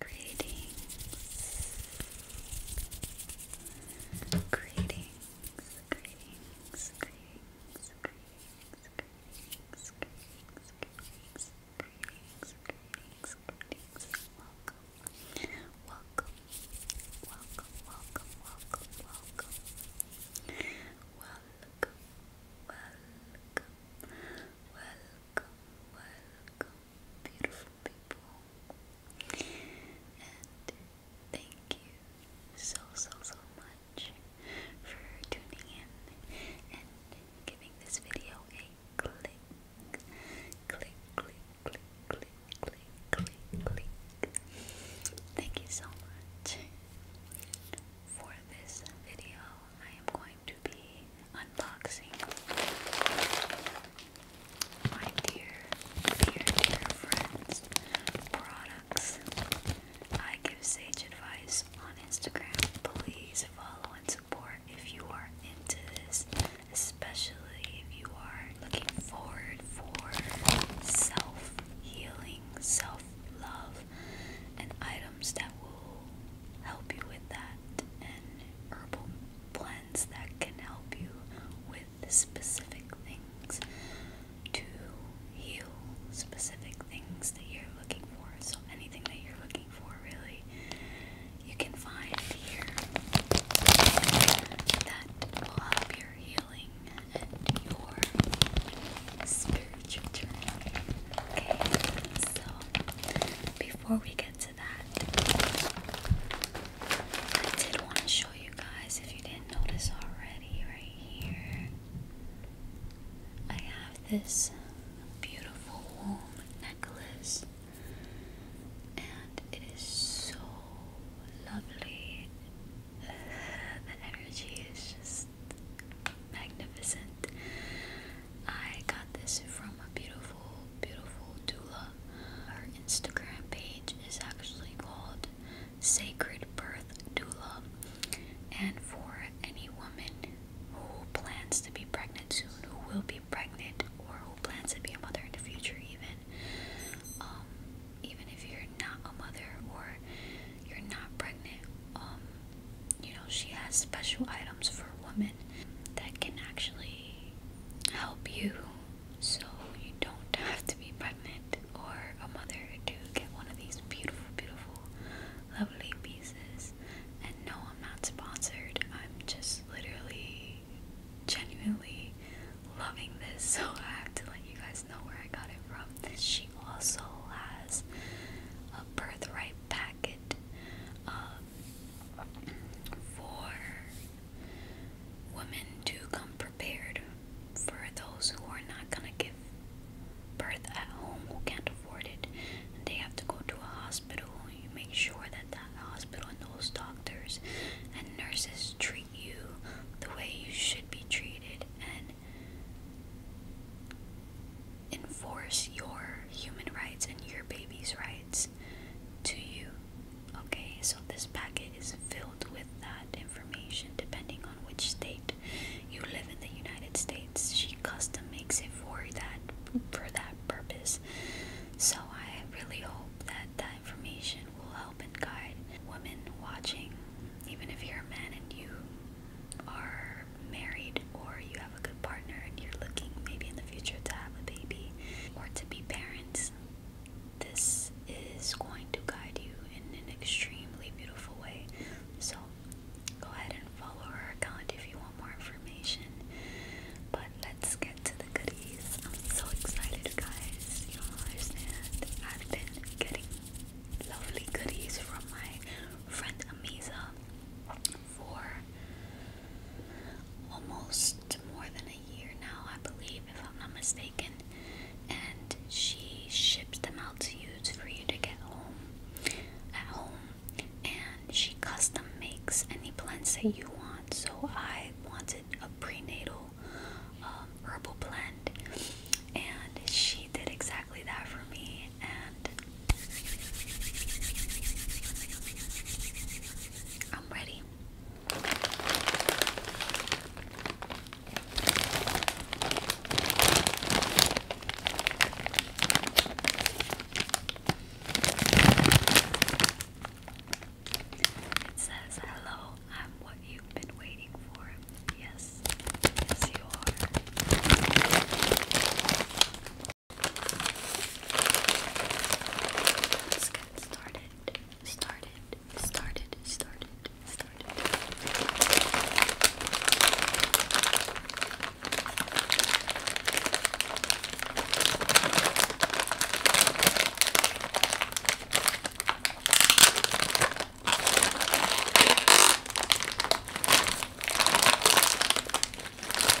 Greetings. Greetings. Greetings. Greetings. Greetings. Greetings. Greetings. Greetings. Greetings. Greetings. Welcome. Welcome. Welcome. Welcome. Welcome. Welcome. Welcome. Welcome. Welcome. Welcome beautiful people. And thank you so, so, so much for tuning in and giving this video a click. Click, click, click, click, click, click, Thank you so much. For this video, I am going to be unboxing my dear, dear, dear friends' products. I give sage advice on Instagram. Please follow and support if you are into this, especially if you are looking forward for self healing, self love, and I that will help you with that and herbal blends that can help you with specific things to heal specific things that you're looking for. So anything that you're looking for really you can find here that will help your healing and your spiritual journey. Okay, so before we get to I did want to show you guys, if you didn't notice already, right here, I have this beautiful womb necklace, and it is so lovely. Uh, the energy is just magnificent. I got this from a beautiful, beautiful doula. Her Instagram page is actually called Sacred Birth Doula. And for any woman who plans to be pregnant soon, who will be pregnant, or who plans to be a mother in the future, even, um, even if you're not a mother or you're not pregnant, um, you know, she has special items for women that can actually help you so you don't have to be pregnant or a mother to get one of these beautiful, beautiful, lovely pieces. And no, I'm not sponsored, I'm just literally genuinely loving this, so I have to let you guys know where I got it from. She also has a birthright packet uh, for women to come prepared for those who are not going to give birth at home, who can't afford it. they have to go to a hospital. You make sure that that hospital and those doctors and nurses treat you the way you should be treated and enforce your human rights and your baby's rights to you. Okay, so this packet is filled with that information depending on which state you live in the United States. She custom makes it for that for that purpose. So I really hope that that information will help and guide women watching, even if you're a man and you are you're married or you have a good partner and you're looking maybe in the future to have a baby or to be parents, this is going to guide you in an extremely beautiful way. So go ahead and follow her account if you want more information. But let's get to the goodies. I'm so excited, guys. You don't understand. I've been getting lovely goodies from my friend Amisa for almost more than a year now, I believe, if I'm not mistaken. And she ships them out to you for you to get home at home. And she custom makes any blends that you want. So I wanted a prenatal um, herbal blend, and she did exactly that for me and I'm ready. It says, Hello, I'm what you've been waiting for. Yes, yes, you are. Let's get started. Started. Started. Started. Started. This is first.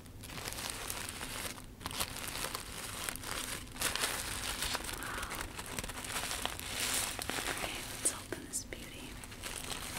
Okay, let's open this beauty. Okay,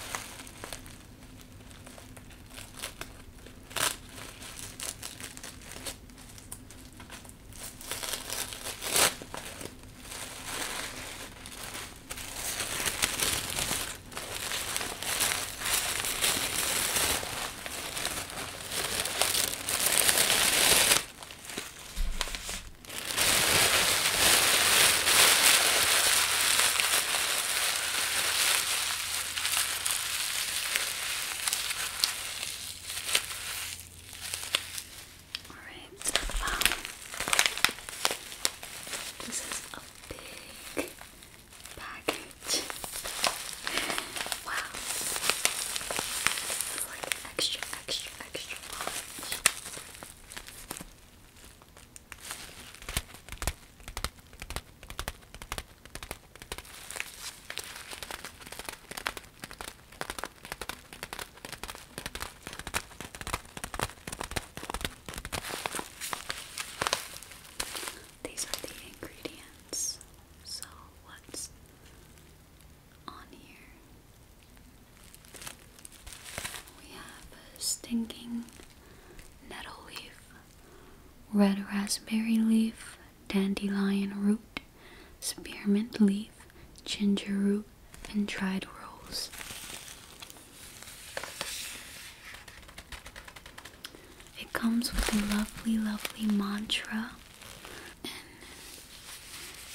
all right. Wow. Um, this is a big Wow. extra, extra, extra large. These are the ingredients. So, what's on here? We have a stinking nettle leaf, red raspberry leaf, dandelion root, spearmint leaf, ginger root, and dried rose. It comes with a lovely, lovely mantra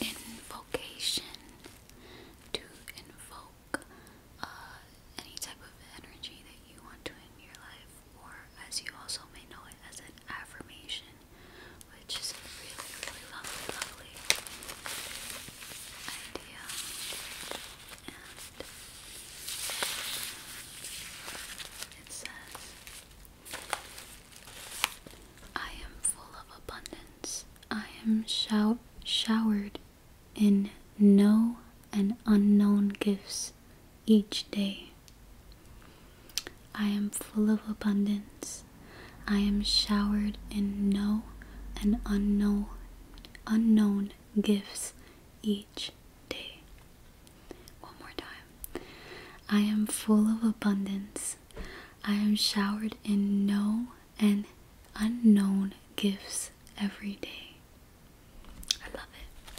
and invocation to invoke uh, any type of energy that you want to in your life, or as you also may know it as an affirmation, which is really, really lovely, lovely idea it says, I am full of abundance. I am showered in no and unknown gifts each day. I am full of abundance. I am showered in no and unknown unknown gifts each day. One more time. I am full of abundance. I am showered in known and unknown gifts every day. I love it.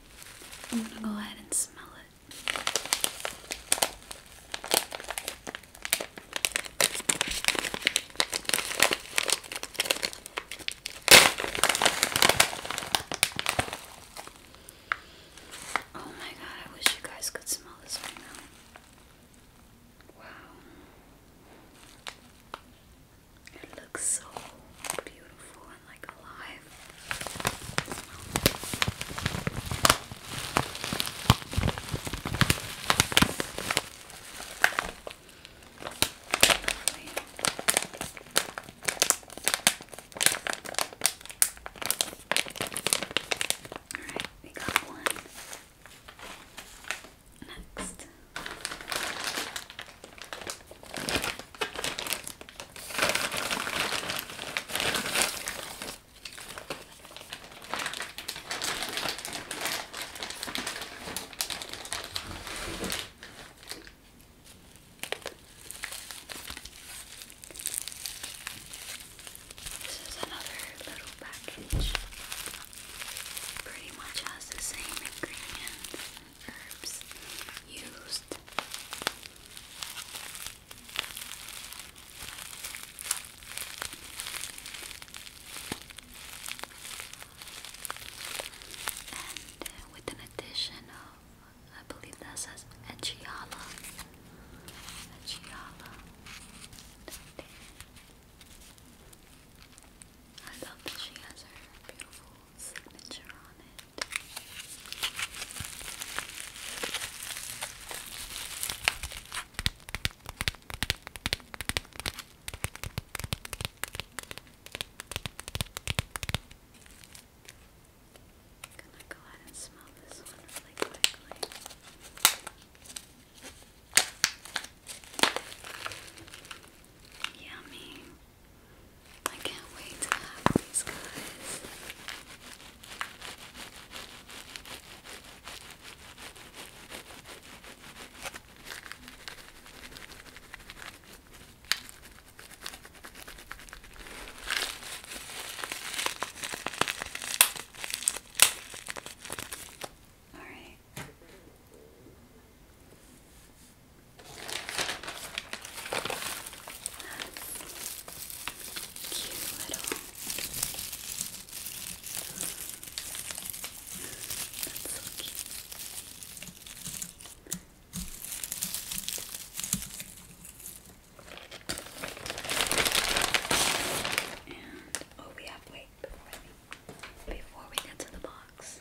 I'm gonna go ahead and smell it. Oh my god, I wish you guys could smell this right now. Wow. It looks so beautiful and like alive. All right, we got one. Next. This is another little package. Pretty much has the same ingredients herbs used. And with an addition of, I believe that says Echiala. Echiala. I love that she has her beautiful signature on it. I'm gonna go ahead and smell this one really quickly. Yummy. I can't wait to have these guys. All right. Cute little. oh, we have wait before we get to the box.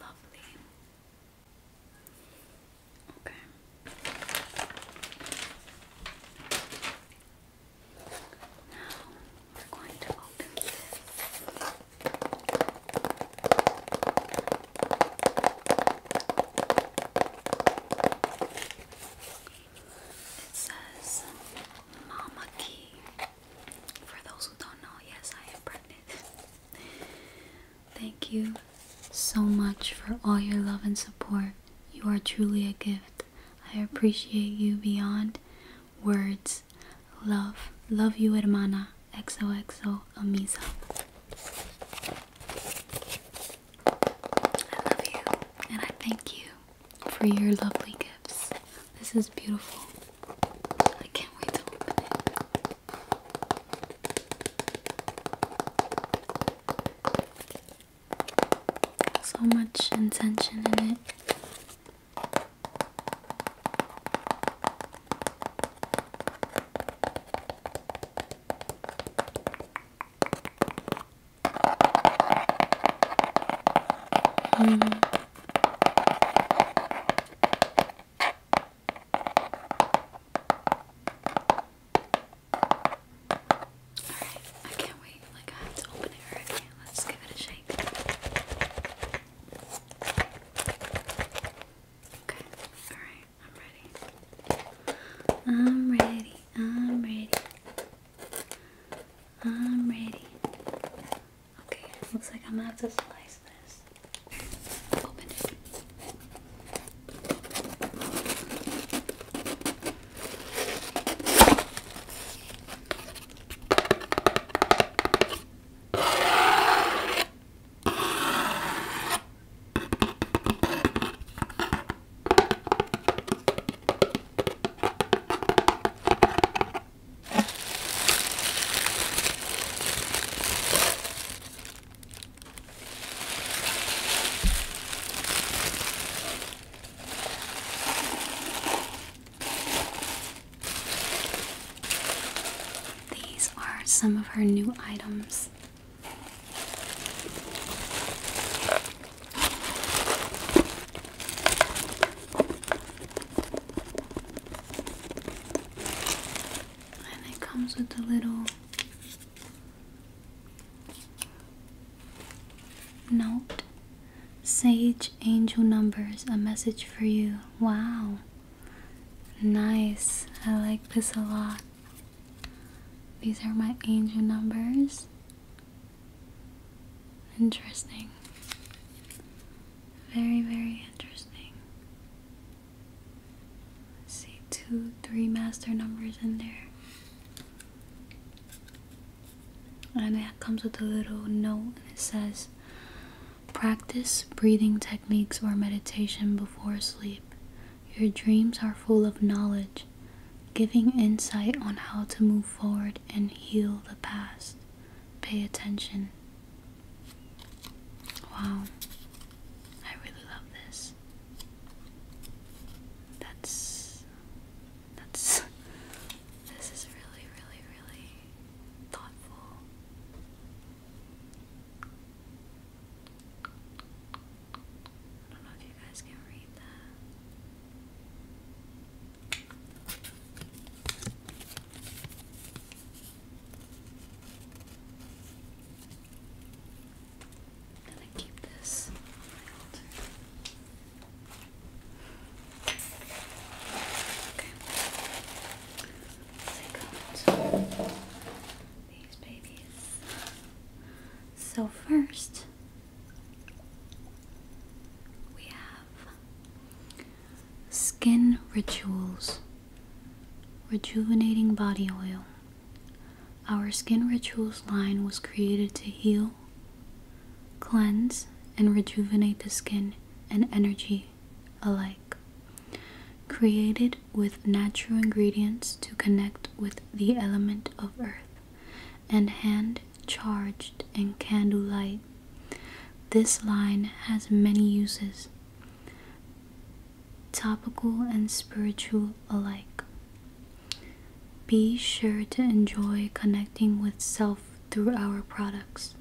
Lovely. Okay. Now we're going to open this. It says Mama Key. For those who don't know, yes, I am pregnant. Thank you so much for all your love and support. You are truly a gift. I appreciate you beyond words. Love. Love you, hermana. XOXO Amisa. I love you and I thank you for your lovely gifts. This is beautiful. I can't wait to open it. So much intention in it. Mm. Alright, I can't wait. Like, I have to open it right now. Let's give it a shake. Okay, alright, I'm ready. I'm ready, I'm ready. I'm ready. Okay, looks like I'm going to slice this. Open it. These are some of her new items. And it comes with a little note. Sage Angel Numbers, a message for you. Wow. Nice. I like this a lot. These are my angel numbers. Interesting. Very, very interesting. see, two, three master numbers in there. And that comes with a little note and it says Practice breathing techniques or meditation before sleep. Your dreams are full of knowledge, giving insight on how to move forward and heal the past. Pay attention. Wow. I really love this. That's that's this is really really really thoughtful. I don't know if you guys can read that i to keep this Okay. Take out these babies. So first, we have Skin Rituals Rejuvenating Body Oil. Our Skin Rituals line was created to heal, cleanse, and rejuvenate the skin and energy alike. Created with natural ingredients to connect with the element of earth and hand charged, and candlelight. This line has many uses, topical and spiritual alike. Be sure to enjoy connecting with self through our products.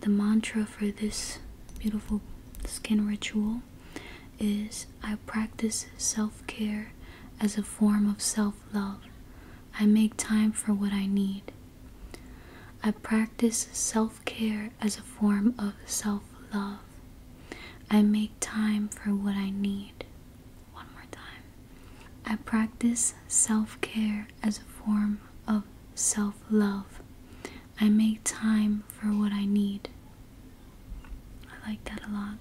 The mantra for this beautiful skin ritual is I practice self care as a form of self love. I make time for what I need. I practice self care as a form of self love. I make time for what I need. One more time. I practice self care as a form of self love. I make time for what I need. I like that a lot.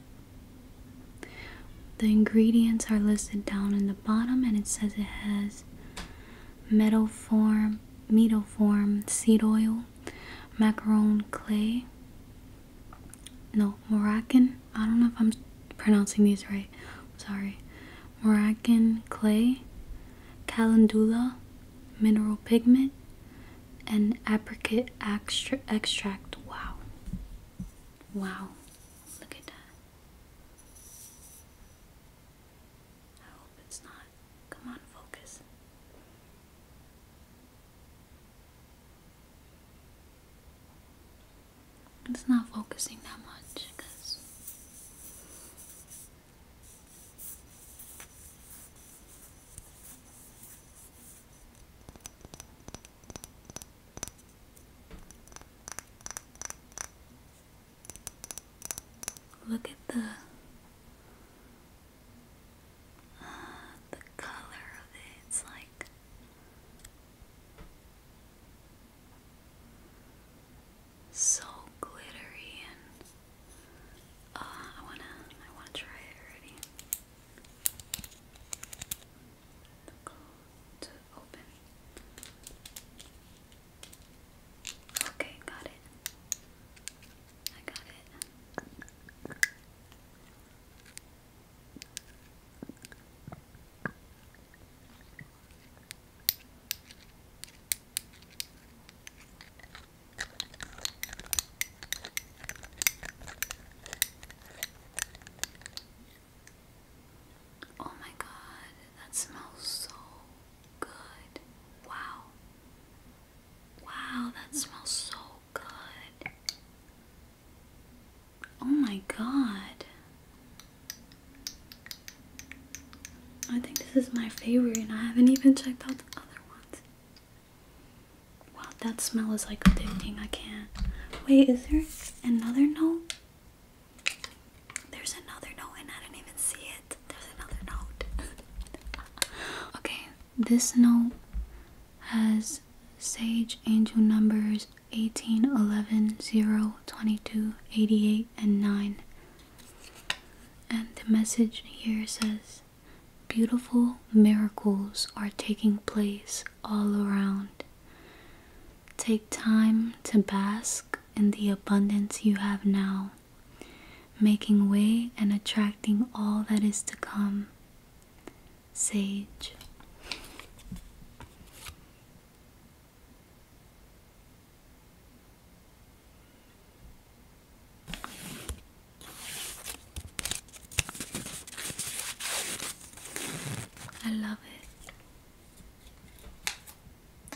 The ingredients are listed down in the bottom and it says it has metal form, metal form, seed oil, macaron clay, no, Moroccan. I don't know if I'm pronouncing these right. sorry. Moroccan clay, calendula, mineral pigment, and apricot extra extract. Wow. Wow. Look at that. I hope it's not. Come on, focus. It's not focusing that much because Look at the uh, the color of it. It's like so glittery and uh, I wanna I wanna try it already. The gold open. Okay, got it. I got it. Oh my god, that smells so good. Wow. Wow, that smells so good. Oh my god. I think this is my favorite, and I haven't even checked out the other ones. Wow, that smell is like addicting. I can't. Wait, is there another note? There's another note, and I didn't even see it. There's another note. okay, this note has Sage Angel numbers 18, 11, 0, 22, 88, and 9. And the message here says Beautiful miracles are taking place all around. Take time to bask in the abundance you have now, making way and attracting all that is to come. Sage. I love it.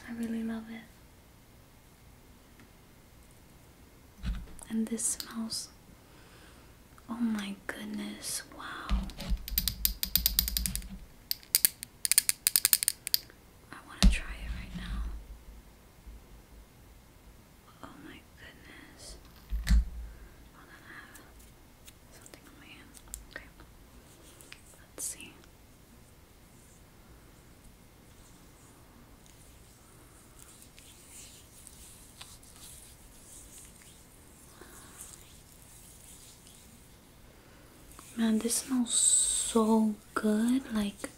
I really love it. And this smells. Oh my goodness, wow. I want to try it right now. Oh my goodness. Let's see. Man, this smells so good, like,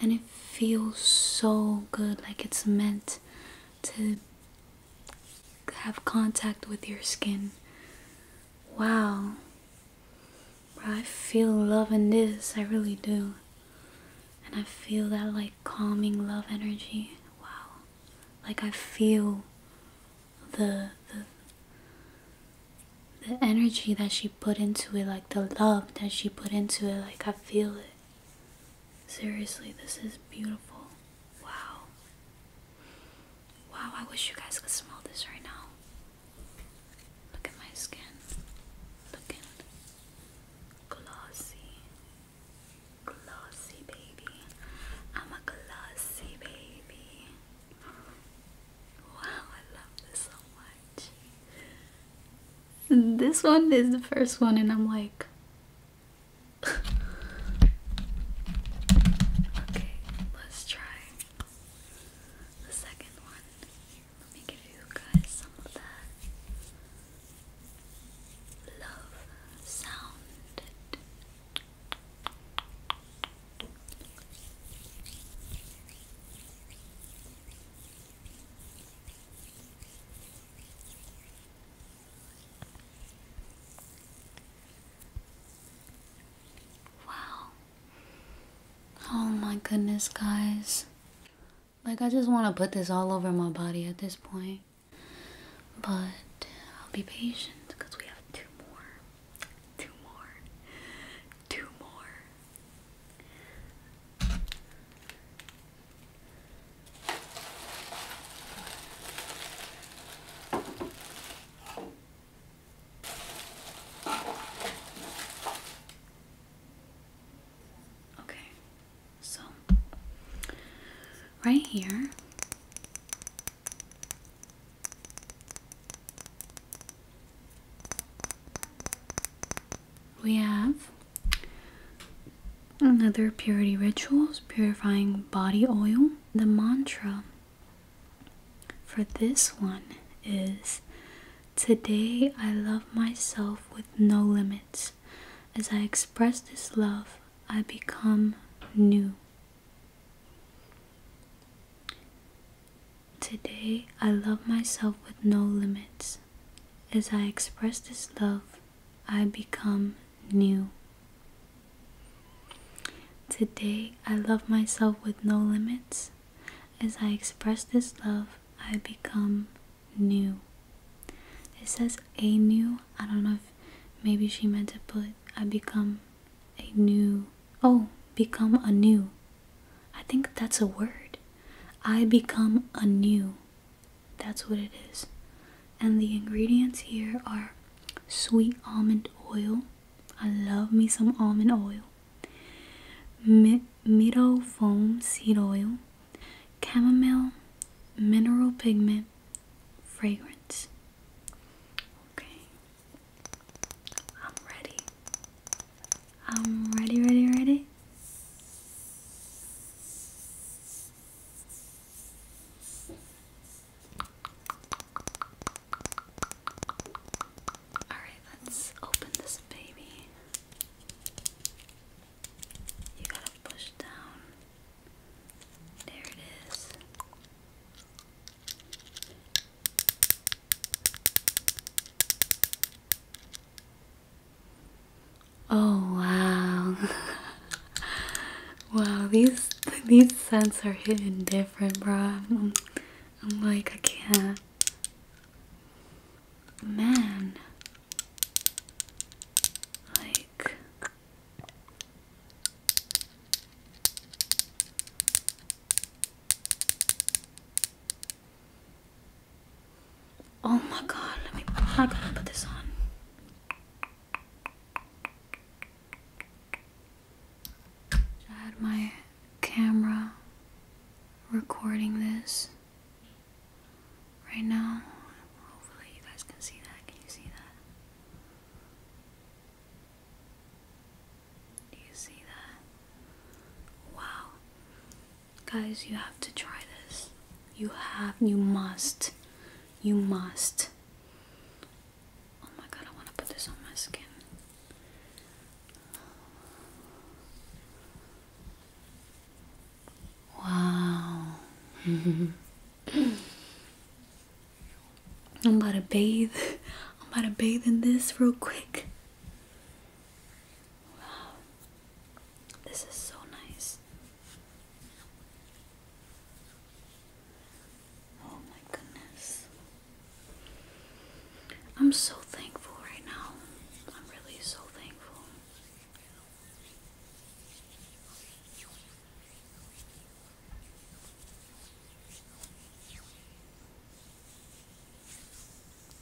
and it feels so good, like it's meant to have contact with your skin. Wow. I feel love in this, I really do. And I feel that like calming love energy. Wow. Like I feel the the the energy that she put into it, like the love that she put into it, like I feel it. Seriously, this is beautiful. Wow. Wow, I wish you guys could smell this right now. Look at my skin. Looking glossy. Glossy baby. I'm a glossy baby. Wow, I love this so much. This one is the first one, and I'm like, okay, let's try the second one. Let me give you guys some of that love sound. Wow. Oh my goodness, guys. Like, I just want to put this all over my body at this point. But I'll be patient because we have two more. Two more. Two more. Okay, so right here. We have another purity rituals, purifying body oil the mantra for this one is Today I love myself with no limits. As I express this love, I become new. Today I love myself with no limits. As I express this love, I become new. Today, I love myself with no limits. As I express this love, I become new. It says a new. I don't know if maybe she meant to put I become a new. Oh, become anew. I think that's a word. I become anew. That's what it is and the ingredients here are sweet almond oil. I love me some almond oil. Miro foam seed oil, chamomile, mineral pigment, fragrance. Okay, I'm ready. I'm ready, ready, ready. Alright, let's open this baby. You gotta push down. There it is. Oh, wow. wow, these these scents are hitting different, bro. I'm, I'm like, I can't. Man, like. Oh my god, let me I gotta put this on. I had my camera recording this right now. Hopefully, you guys can see that. Can you see that? Do you see that? Wow. Guys, you have to try this. You have, you must, you must. Oh my god, I want to put this on my skin. Wow. I'm about to bathe. I'm about to bathe in this real quick. Wow. This is so nice. Oh my goodness. I'm so thankful right now. I'm really so thankful.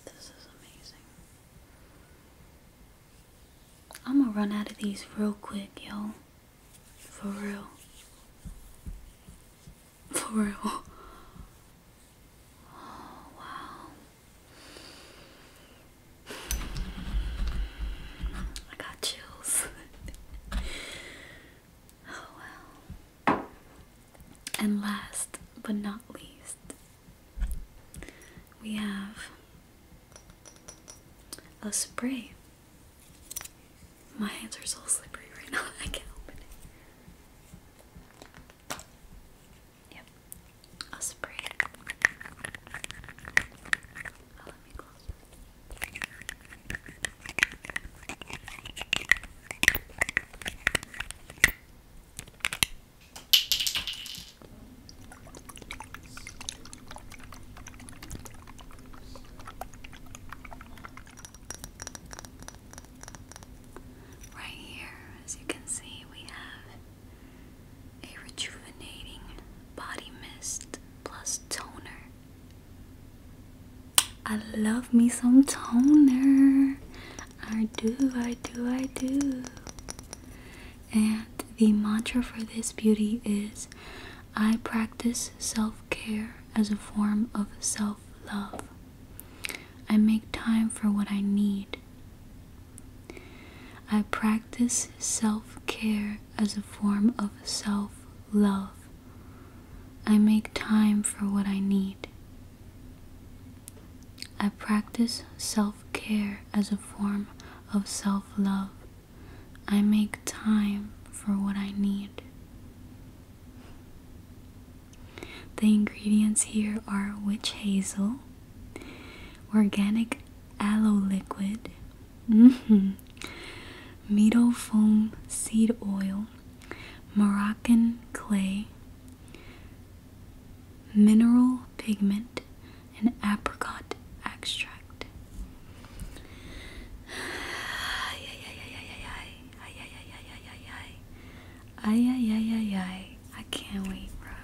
This is amazing. I'm gonna run out of these real quick, yo. For real. For real. Oh, wow. I got chills. oh, wow. And last but not least, we have a spray my hands are so slippery right now, I can't open it. Yep, I'll spray it. Oh, me close Right here, as you can see, we have a rejuvenating body mist plus toner. I love me some toner. I do, I do, I do. And the mantra for this beauty is I practice self care as a form of self love. I make time for what I need. I practice self care as a form of self love. I make time for what I need. I practice self care as a form of self love. I make time for what I need. The ingredients here are witch hazel, organic aloe liquid, -hmm. meadow foam seed oil, Moroccan clay, mineral pigment, an apricot extract. Ay ay ay ay ay ay ay ay ay ay ay ay ay ay ay ay ay ay. I can't wait, bro.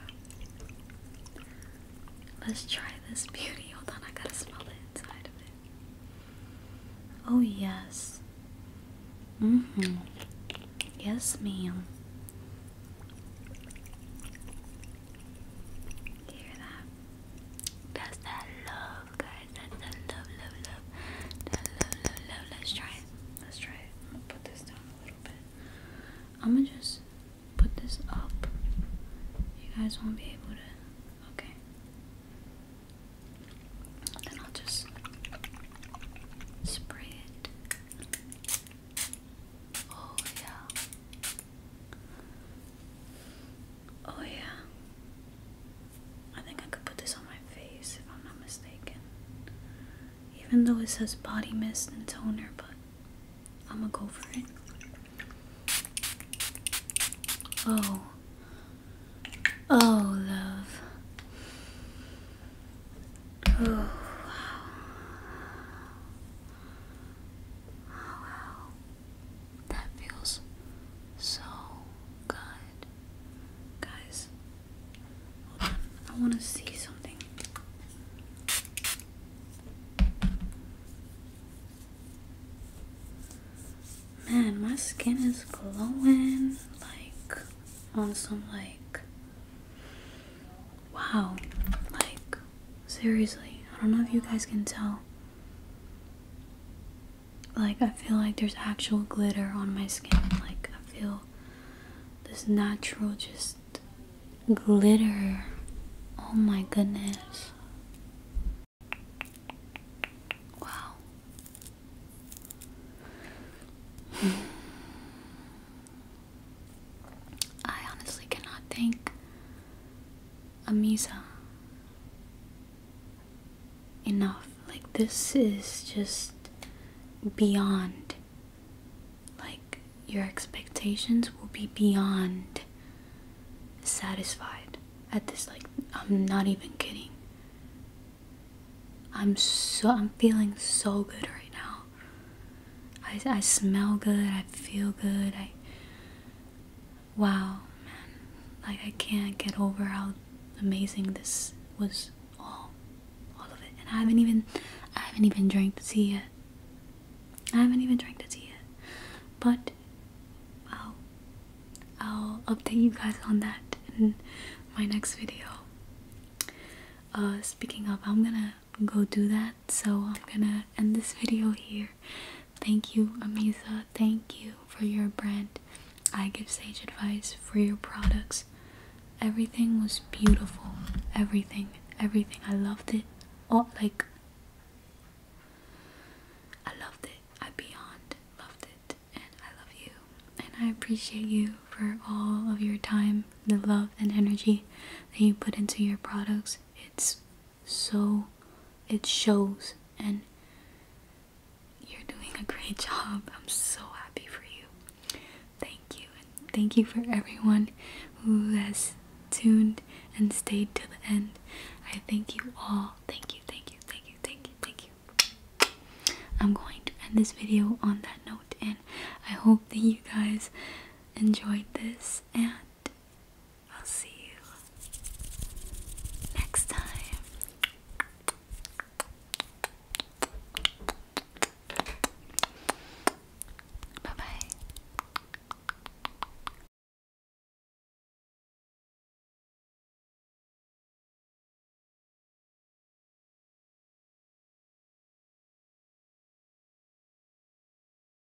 Let's try this beauty. Hold on, I gotta smell the inside of it. Oh yes. Mm-hmm. Yes, ma'am hear that? That's that love, guys. That's that love, love, love. That love, love, love. Let's try it. Let's try it. I'm gonna put this down a little bit. I'm gonna just put this up. You guys won't be able to. Okay. Then I'll just spray it. Oh, yeah. Oh, yeah. I think I could put this on my face if I'm not mistaken. Even though it says body mist and toner, but I'm gonna go for it. Oh. Oh, love. Oh, wow. Oh, wow. That feels so good. Guys, I want to see something. Man, my skin is glowing like on some like wow, like seriously. I don't know if you guys can tell. Like, I feel like there's actual glitter on my skin. Like, I feel this natural, just glitter. Oh my goodness. Wow. I honestly cannot think Amisa. Enough. Like, this is just beyond. Like, your expectations will be beyond satisfied at this. Like, I'm not even kidding. I'm so, I'm feeling so good right now. I, I smell good, I feel good, I, wow, man, like I can't get over how amazing this was all all of it. And I haven't even I haven't even drank the tea yet. I haven't even drank the tea yet. But I'll I'll update you guys on that in my next video. Uh speaking of, I'm gonna go do that, so I'm gonna end this video here. Thank you, Amisa. Thank you for your brand. I give sage advice for your products. Everything was beautiful. Everything. Everything. I loved it. Oh, like, I loved it. I beyond loved it. And I love you. And I appreciate you for all of your time, the love, and energy that you put into your products. It's so it shows and you're doing a great job. I'm so happy for you. Thank you. And thank you for everyone who has tuned and stayed to the end. I thank you all. Thank you, thank you, thank you, thank you, thank you. I'm going to end this video on that note and I hope that you guys enjoyed this and I'll see you next time. Bye bye.